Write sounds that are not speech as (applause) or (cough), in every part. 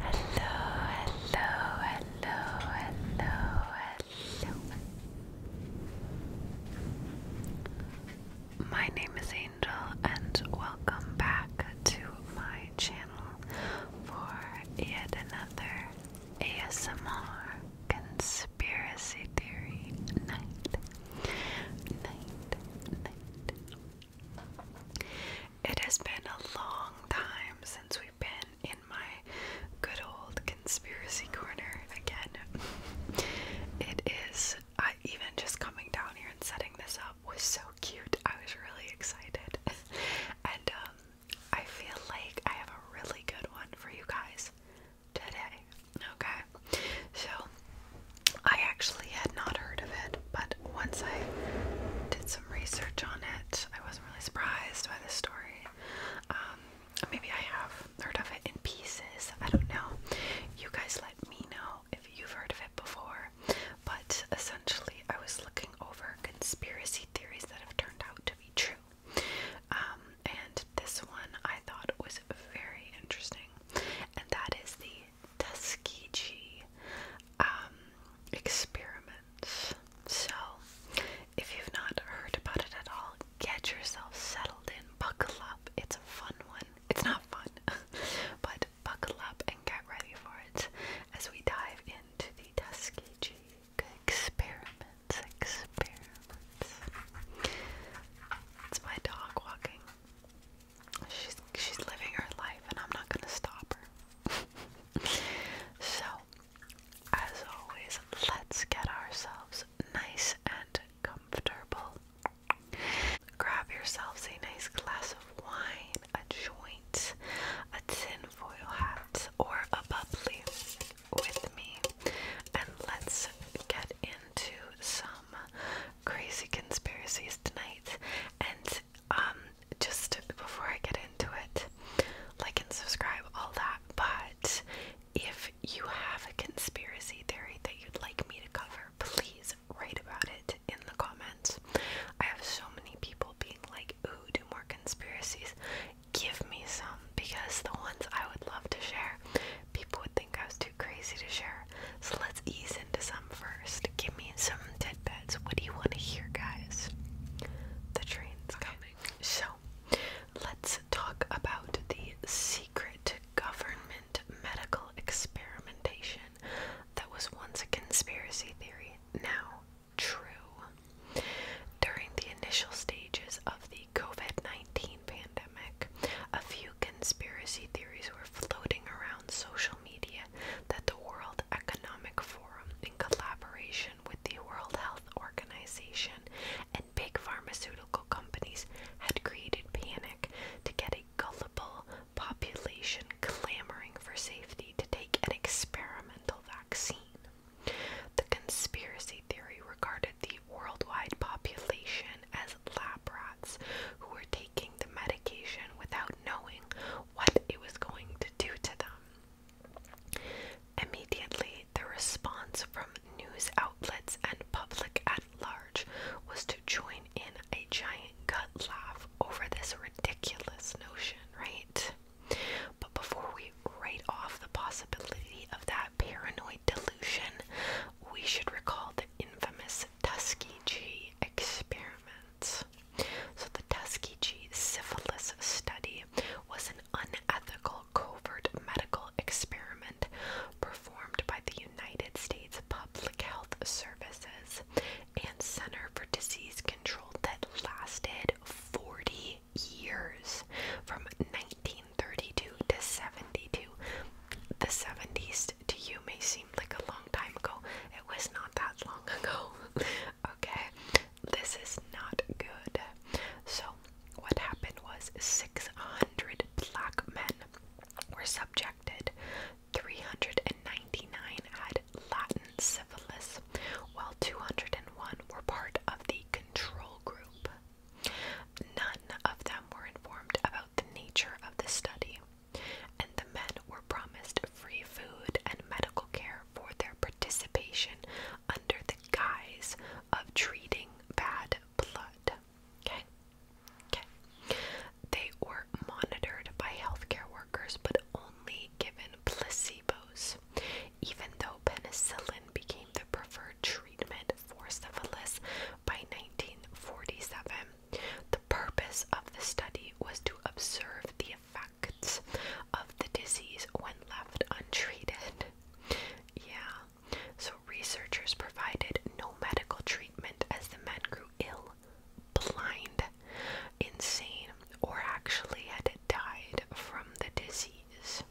hello, hello, hello, hello. My name is Angel, and welcome back to my channel for yet another ASMR conspiracy theory night. Night, night. It has been a long time since we've been in my good old conspiracy corner again. it is, I even just coming down here and setting this up was so cute. I was really excited. (laughs) and um, I feel like I have a really good one for you guys today. Okay, so I actually had not heard of it, but once I did some research on it, I wasn't really surprised by this story. Um, maybe I have heard of it in pieces. I don't know. You guys let me know if you've heard of it before. But essentially, I was looking over conspiracy theories that have turned out to be true. Um, and this one I thought was very interesting, and that is the Tuskegee um, experiment. So, if you've not heard about it at all, get yourself settled in, buckle up. It's a fun one. It's not fun, (laughs) but buckle up and get ready for it as we dive into the Tuskegee experiments. Experiments. It's my dog walking. She's she's living her life, and I'm not gonna stop her. (laughs) so, as always, let's get ourselves nice and comfortable. Grab yourselves a nice glass of wine a joint, a tin foil hat, or a bubbly with me, and let's get into some crazy conspiracies tonight. And um, just before I get into it, like and subscribe, all that. But if you have a conspiracy theory that you'd like me to cover, please write about it in the comments. I have so many people being like, ooh, do more conspiracies. Give me some because the ones I would love to share, people would think I was too crazy to share. So let's ease into some first. Give me some tidbits. What do you want to hear, guys? The train's okay. coming. So let's talk about the secret government medical experimentation that was once a conspiracy theory, now true. During the initial stages of the COVID 19 pandemic, a few conspiracy theories were floating around social media that the World Economic Forum, in collaboration with the World Health Organization and big pharmaceutical companies, had created panic to get a gullible population clamoring for safety to take an experimental vaccine. The conspiracy theory regarded the worldwide population as lab rats who were taking the medication without knowing what it was going to do to them. Immediately, the response from news outlets and public at large was to join in a giant gut laugh over this ridiculous notion, right? But before we write off the possibility of that paranoid delusion, we should recall the infamous Tuskegee experiments. So, the Tuskegee syphilis study was an unethical covert medical experiment performed by the United States Public Health Services and Center for Disease Control that lasted 40 years from 1932 to 72. The 70s to you may seem like a long time ago, it was not that long ago. (laughs) okay, this is not good. So, what happened was 600 black men were subjected 399 had Latin syphilis, while 201 were part of the control group. None of them were informed about the nature of the study, and the men were promised free food and medical care for their participation under the guise of treating bad blood. Okay. They were monitored by healthcare workers but only given placebos, even though penicillin became the preferred treatment for syphilis by 1947. The purpose of the study was to observe the effects of the disease when left untreated. Yeah, so researchers provided no medical treatment as the men grew ill blind, insane, or actually had died from the disease.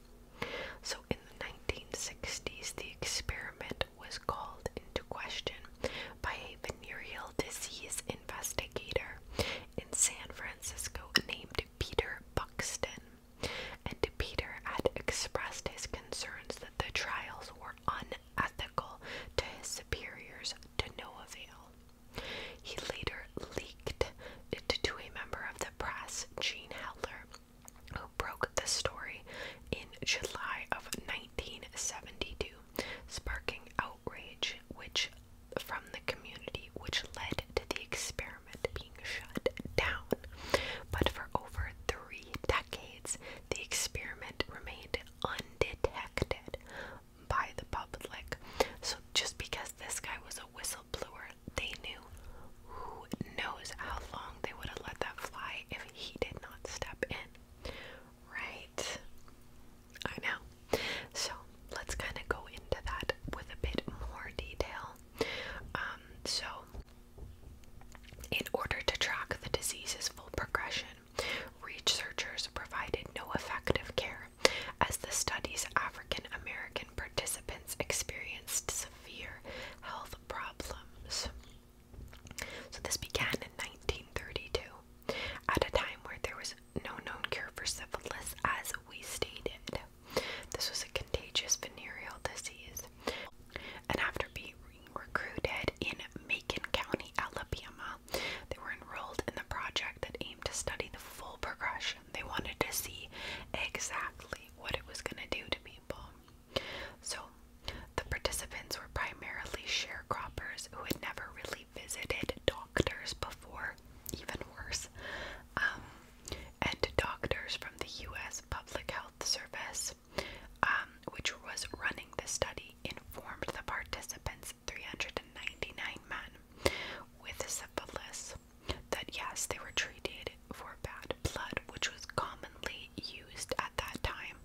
So in the 1960s, the experiment was called into question by a venereal disease investigator in San Francisco named Peter Buxton. And Peter had expressed his concerns that the trials were unethical to his superiors to no avail. He later leaked it to a member of the press, Gene Heller, who broke the story in July of 1972, sparking outrage which from the community which led to the experiment being shut down. But for over three decades, the experiment remained undetected by the public. So just because this guy was a whistleblower, they knew. Who knows how long they would have let that fly if he did not step in, right? I know. So let's kind of go into that with a bit more detail. Um, so in order to track the disease's full progression, researchers provided no effective care, as the study's African American participants experienced severe health problems. So, this began in 1932, at a time where there was no known cure for syphilis, as we stated. This was a contagious venereal disease and after being recruited in Macon County, Alabama, they were enrolled in the project that aimed to study the full progression. They wanted to see exactly what it was going to do to people. So, the participants were primarily sharecroppers who had never really visited doctors before, even worse, um, and doctors from the U.S. Public Health Service um, which was running the study, informed the participants, 399 men, with syphilis, that yes, they were treated for bad blood, which was commonly used at that time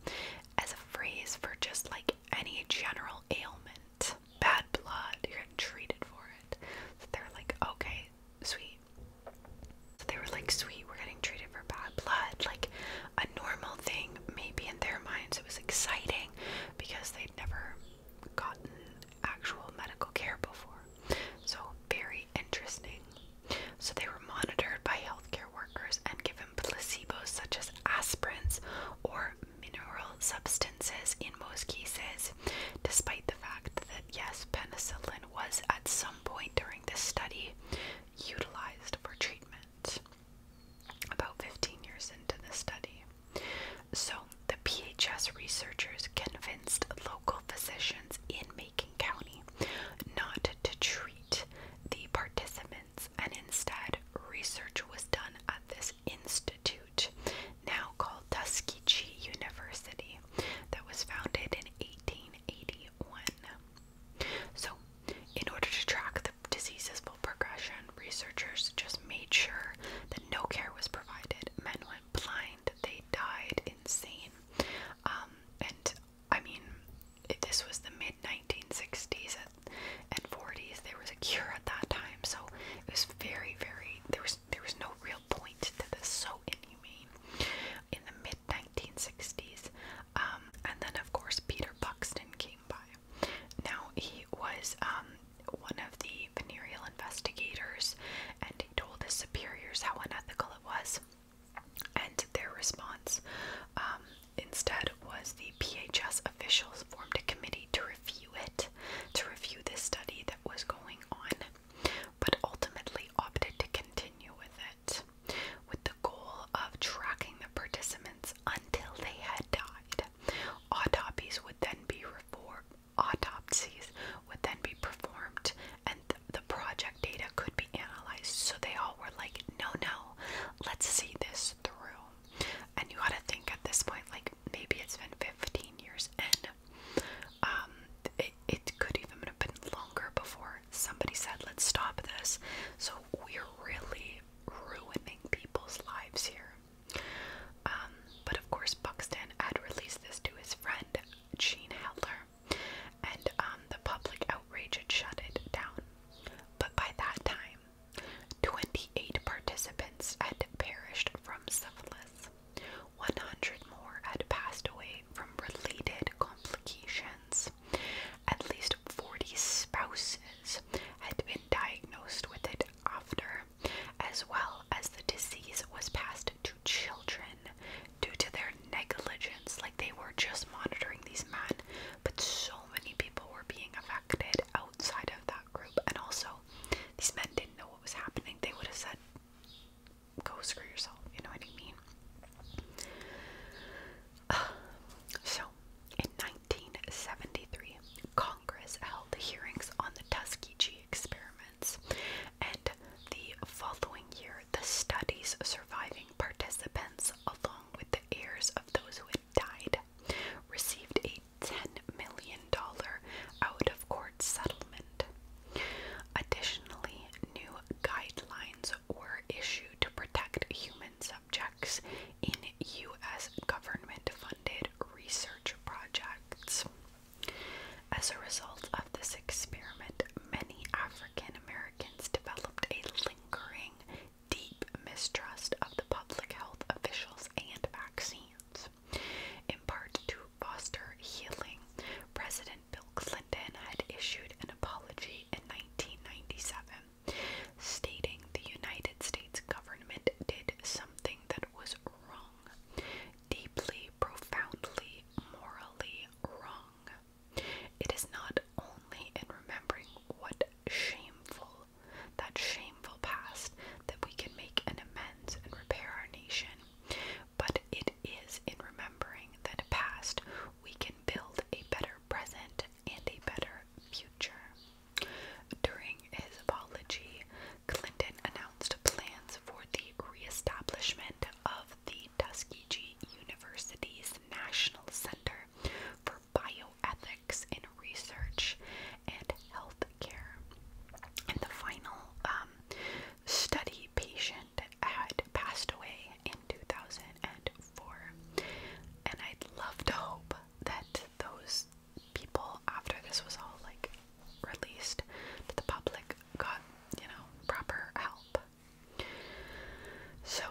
as a phrase for just like any general ailment. Bad blood, you're treated for it. So they're like, okay, sweet. So they were like, sweet, we're getting treated for bad blood, like a normal thing. Maybe in their minds it was exciting because they'd never gotten actual medical care before. So, very interesting. So, they were monitored by healthcare workers and given placebos such as aspirins or mineral substances in most cases, despite the fact that, yes, penicillin was at some point during this study utilized for treatment about 15 years into the study. So, the PHS researchers convinced local physicians in Macon County not to treat the participants, and instead, research was done at this institute, now called Tuskegee University, that was founded in 1881. So, in order to track the disease's full progression, researchers just made sure that no care was provided. Men went blind, they died insane. Um, and I mean, this was the mid 1960s and, and 40s. There was a cure at that time, so it was very, very. There was there was no real point to this. So inhumane. In the mid 1960s, um, and then, of course, Peter Buxton came by. Now, he was um, one of the venereal investigators, and he told his superiors how unethical it was. And their response um, instead was the PHS officials formed a committee to review it, to review this study that was going on but ultimately opted to continue with it, with the goal of tracking the participants until they had died. Autopsies would then be autopsies would then be performed, and the project data could be analyzed. So they all were like, "No, no, let's see this through." And you gotta think at this point, like maybe it's been 15 years, and it, could even have been longer before somebody said, let's stop this. So we're really ruining people's lives here. Um, but of course, Buxton had released this to his friend, Gene Heller, and um, the public outrage had shut it down. But by that time, 28 participants had perished from syphilis. 100 more had passed away from related complications. At least 40 spouses had been diagnosed with it after, as well as the disease was passed to children due to their negligence. Like they were just monitoring these men, but so many people were being affected outside of that group. And also, these men didn't know what was happening. They would have said, go screw yourself. You know what I mean? (sighs) so, in 1973, Congress held hearings on the Tuskegee experiments, and the following year, the study's surviving participants, along with the heirs of those who had died, received a $10 million out of court settlement. Additionally, new guidelines were issued to protect human subjects in U.S. government funded research projects. As a result of this experiment, many African Americans developed a lingering, deep mistrust of the public health officials and vaccines, in part to foster healing, President Bill Clinton had issued an apology in 1997, stating the United States government did something that was wrong, deeply, profoundly, morally wrong. It is not only in remembering what shameful, that shameful past, that we can make an amends and repair our nation, but it is in remembering that past we can build a better present and a better future. During his apology, Clinton announced plans for the reestablishment of the Tuskegee University's National Center for Bioethics in Research and Health Care. And the final um, study patient had passed away in 2004. And I'd love to hope that those people, after this was all like released to the public, got, you know, proper help. So,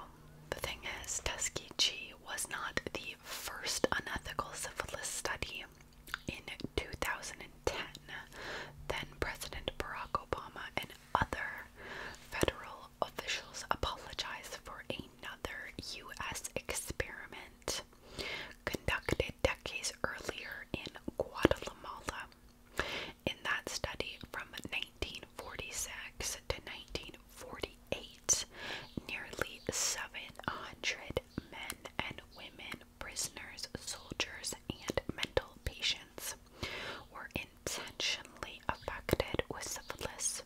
the thing is, Tuskegee was not the first unethical syphilis study. In 2002, then President Barack Obama and other federal officials apologized for another U.S. experiment conducted decades earlier in Guatemala. In that study from 1946 to 1948, nearly 700 men and women prisoners, soldiers, and mental patients were intentionally affected with syphilis.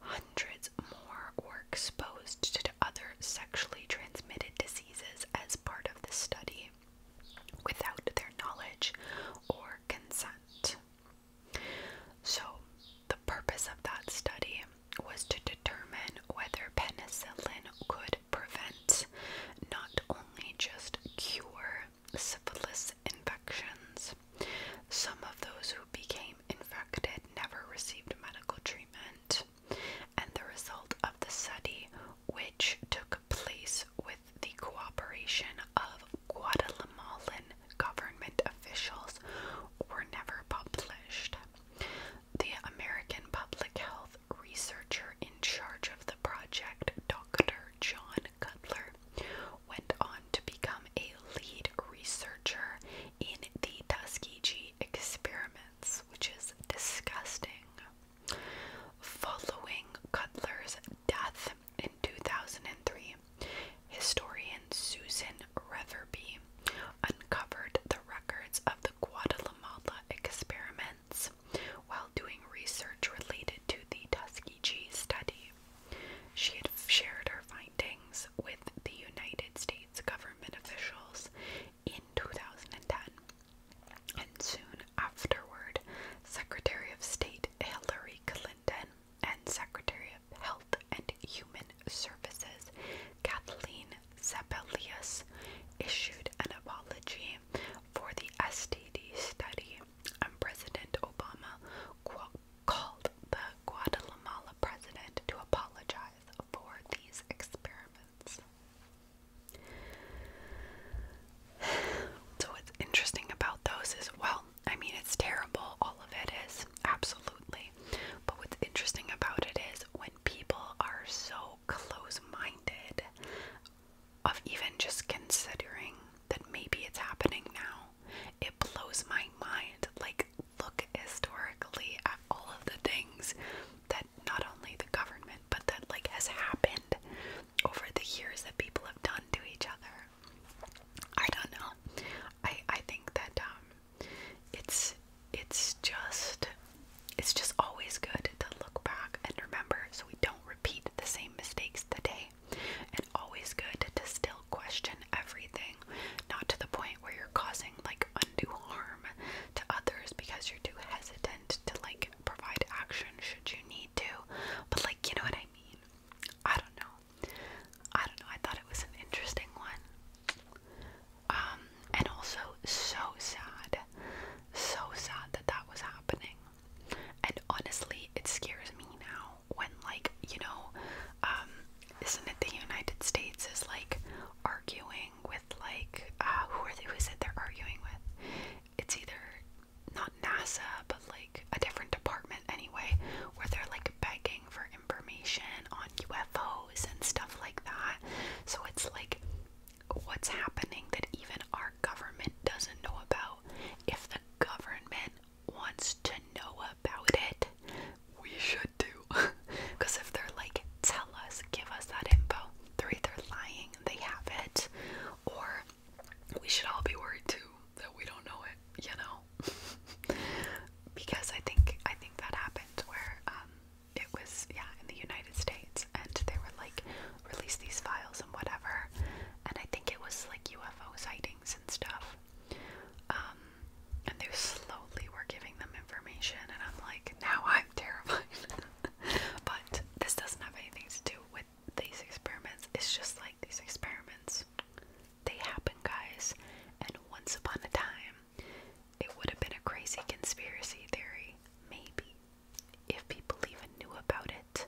Hundreds more were exposed to other sexually transmitted diseases as part of the study without their knowledge or consent. So, the purpose of that study was to determine whether penicillin could prevent, not only just cure, syphilis infections. Some of those who became infected never received medical treatment, and the result of the study, which took place with the cooperation of Guatemalan government officials, were never published. The American public health researcher in charge of the project, Dr. John Cutler, went on to become a lead researcher in the Tuskegee experiments, which is disgusting. Following Cutler's death in 2003, historian Susan Reverby uncovered the records of the Guatemala experiment while doing research related to the Tuskegee study. She had shared her findings with the United States government officials in 2010. And soon afterward, Secretary of State Hillary Clinton and Secretary of Health and Human Services Kathleen Sabellius issued an apology for the STD study, and President Obama called the Guatemala president to apologize for these experiments. (sighs) So, what's interesting about those is well, I mean, it's terrible, all of it is, absolutely. But what's interesting about it is when people are so close minded of even just considering that maybe it's happening now. It blows my mind. Like, look historically at all of the things that not only the government, but that like has happened over the years that people have done to each other. I don't know. I I think that um it's it's just it's just always good to look back and remember so we don't repeat the same mistakes the day. and always good to still question everything not to the point where you're causing like undue harm to others because you're too hesitant to like provide action should you need to but like you know what i mean i don't know i don't know i thought it was an interesting one um, and also so sad, so sad that that was happening. And honestly, it scares me now when, like, you know, um, isn't it the United States is like arguing with like uh, who are Who is it they're arguing with? It's either not NASA, but like a different department anyway, where they're like begging for information on UFOs and stuff like that. So it's like what's happening that even our government doesn't know about. If the government wants to know about it, we should do. Because (laughs) if they're like, tell us, give us that info, they're either lying, they have it, or we should all be worried too that we don't know it, you know? (laughs) because I think I think that happened where um, it was yeah in the United States, and they were like release these files and whatever, and I think it was like UFO sightings and stuff. Um, and they slowly were giving them information, and I'm like, now I'm (laughs) terrified. but this doesn't have anything to do with these experiments. It's just like these experiments, they happen, guys. And once upon a time, it would have been a crazy conspiracy theory, maybe, if people even knew about it.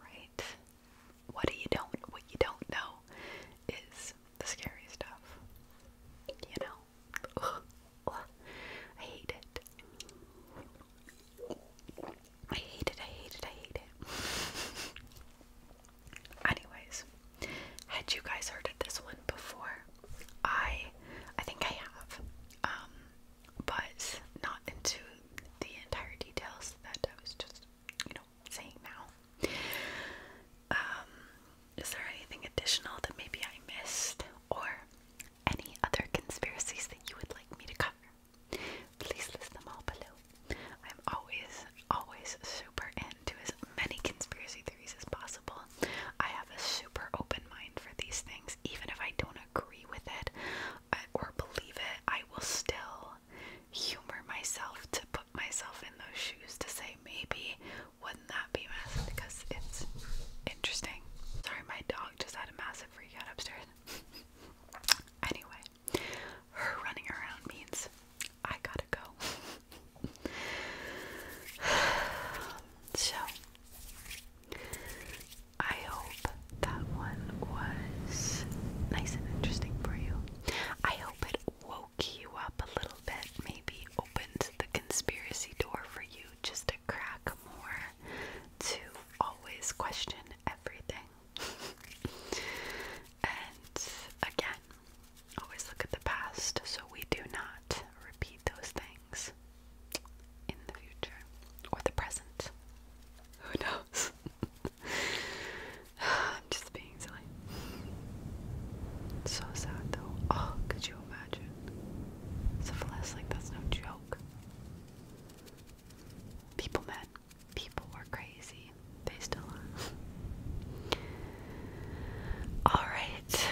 Right? What do you don't what you don't know is the scary stuff. You know? I hate it. I hate it, I hate it, I hate it. (laughs) Anyways, had you guys heard of this one before? I I think I have. Um, but not into the entire details that I was just, you know, saying now. Um is there anything additional that maybe I missed or any other conspiracies that you would like me to cover? Please list them all below. I'm always, always super in to as many conspiracy theories as possible. I have a super open mind for these things. Even if I don't agree with it uh, or believe it, I will still humor myself to put myself in those shoes to say, maybe wouldn't that be massive? Because it's interesting. Sorry, my dog just had a massive freak upstairs. (laughs) anyway, her running around means I gotta go. (sighs) so, I hope that one was nice and interesting for you. I hope it woke you up a little bit, maybe opened the conspiracy door for you just to crack more, to always question everything. (laughs) and again, always look at the past so we do not repeat those things in the future or the present. Who knows? (laughs) I'm just being silly. so sad though. Oh, could you imagine? Syphilis, like, that's no joke. People, man. People were crazy. They still are. Alright.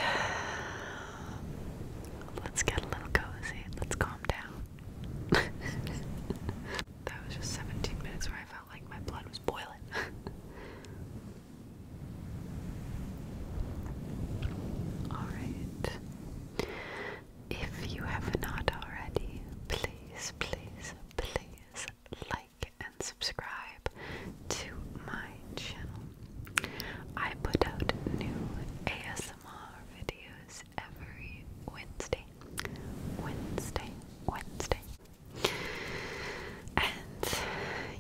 Let's get a little cozy. Let's calm down. (laughs) that was just 17 minutes where I felt like my blood was boiling. (laughs) Alright. If you have not already, please, please, please like and subscribe to my channel. I put out new ASMR videos every Wednesday. Wednesday, Wednesday. And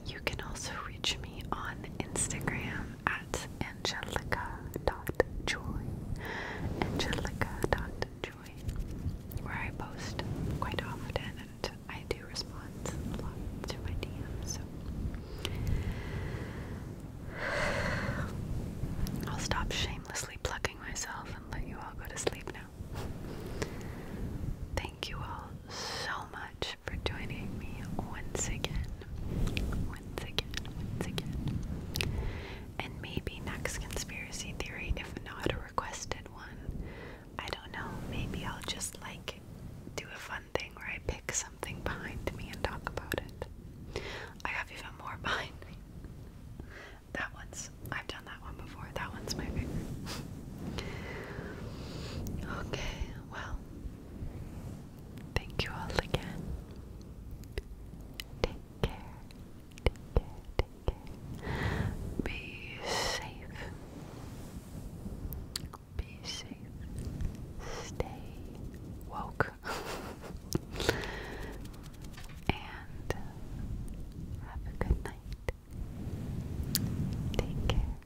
you can also reach me on Instagram at angelica.joy. Angelica.joy. Where I post quite often I do respond a lot to my DMs, so I'll stop shamelessly plucking myself and let you all go to sleep now. Thank you all so much for joining me once again. Once again, once again. And maybe next conspiracy theory, if not a requested one, I don't know, maybe I'll just like do a fun thing where I pick something behind me and talk about it. I have even more (laughs) behind That one's, I've done that one before. That one's my favorite. okay, well, thank you all again. Take care. Be safe. Be safe. Stay woke. (laughs) and have a good night. Take care.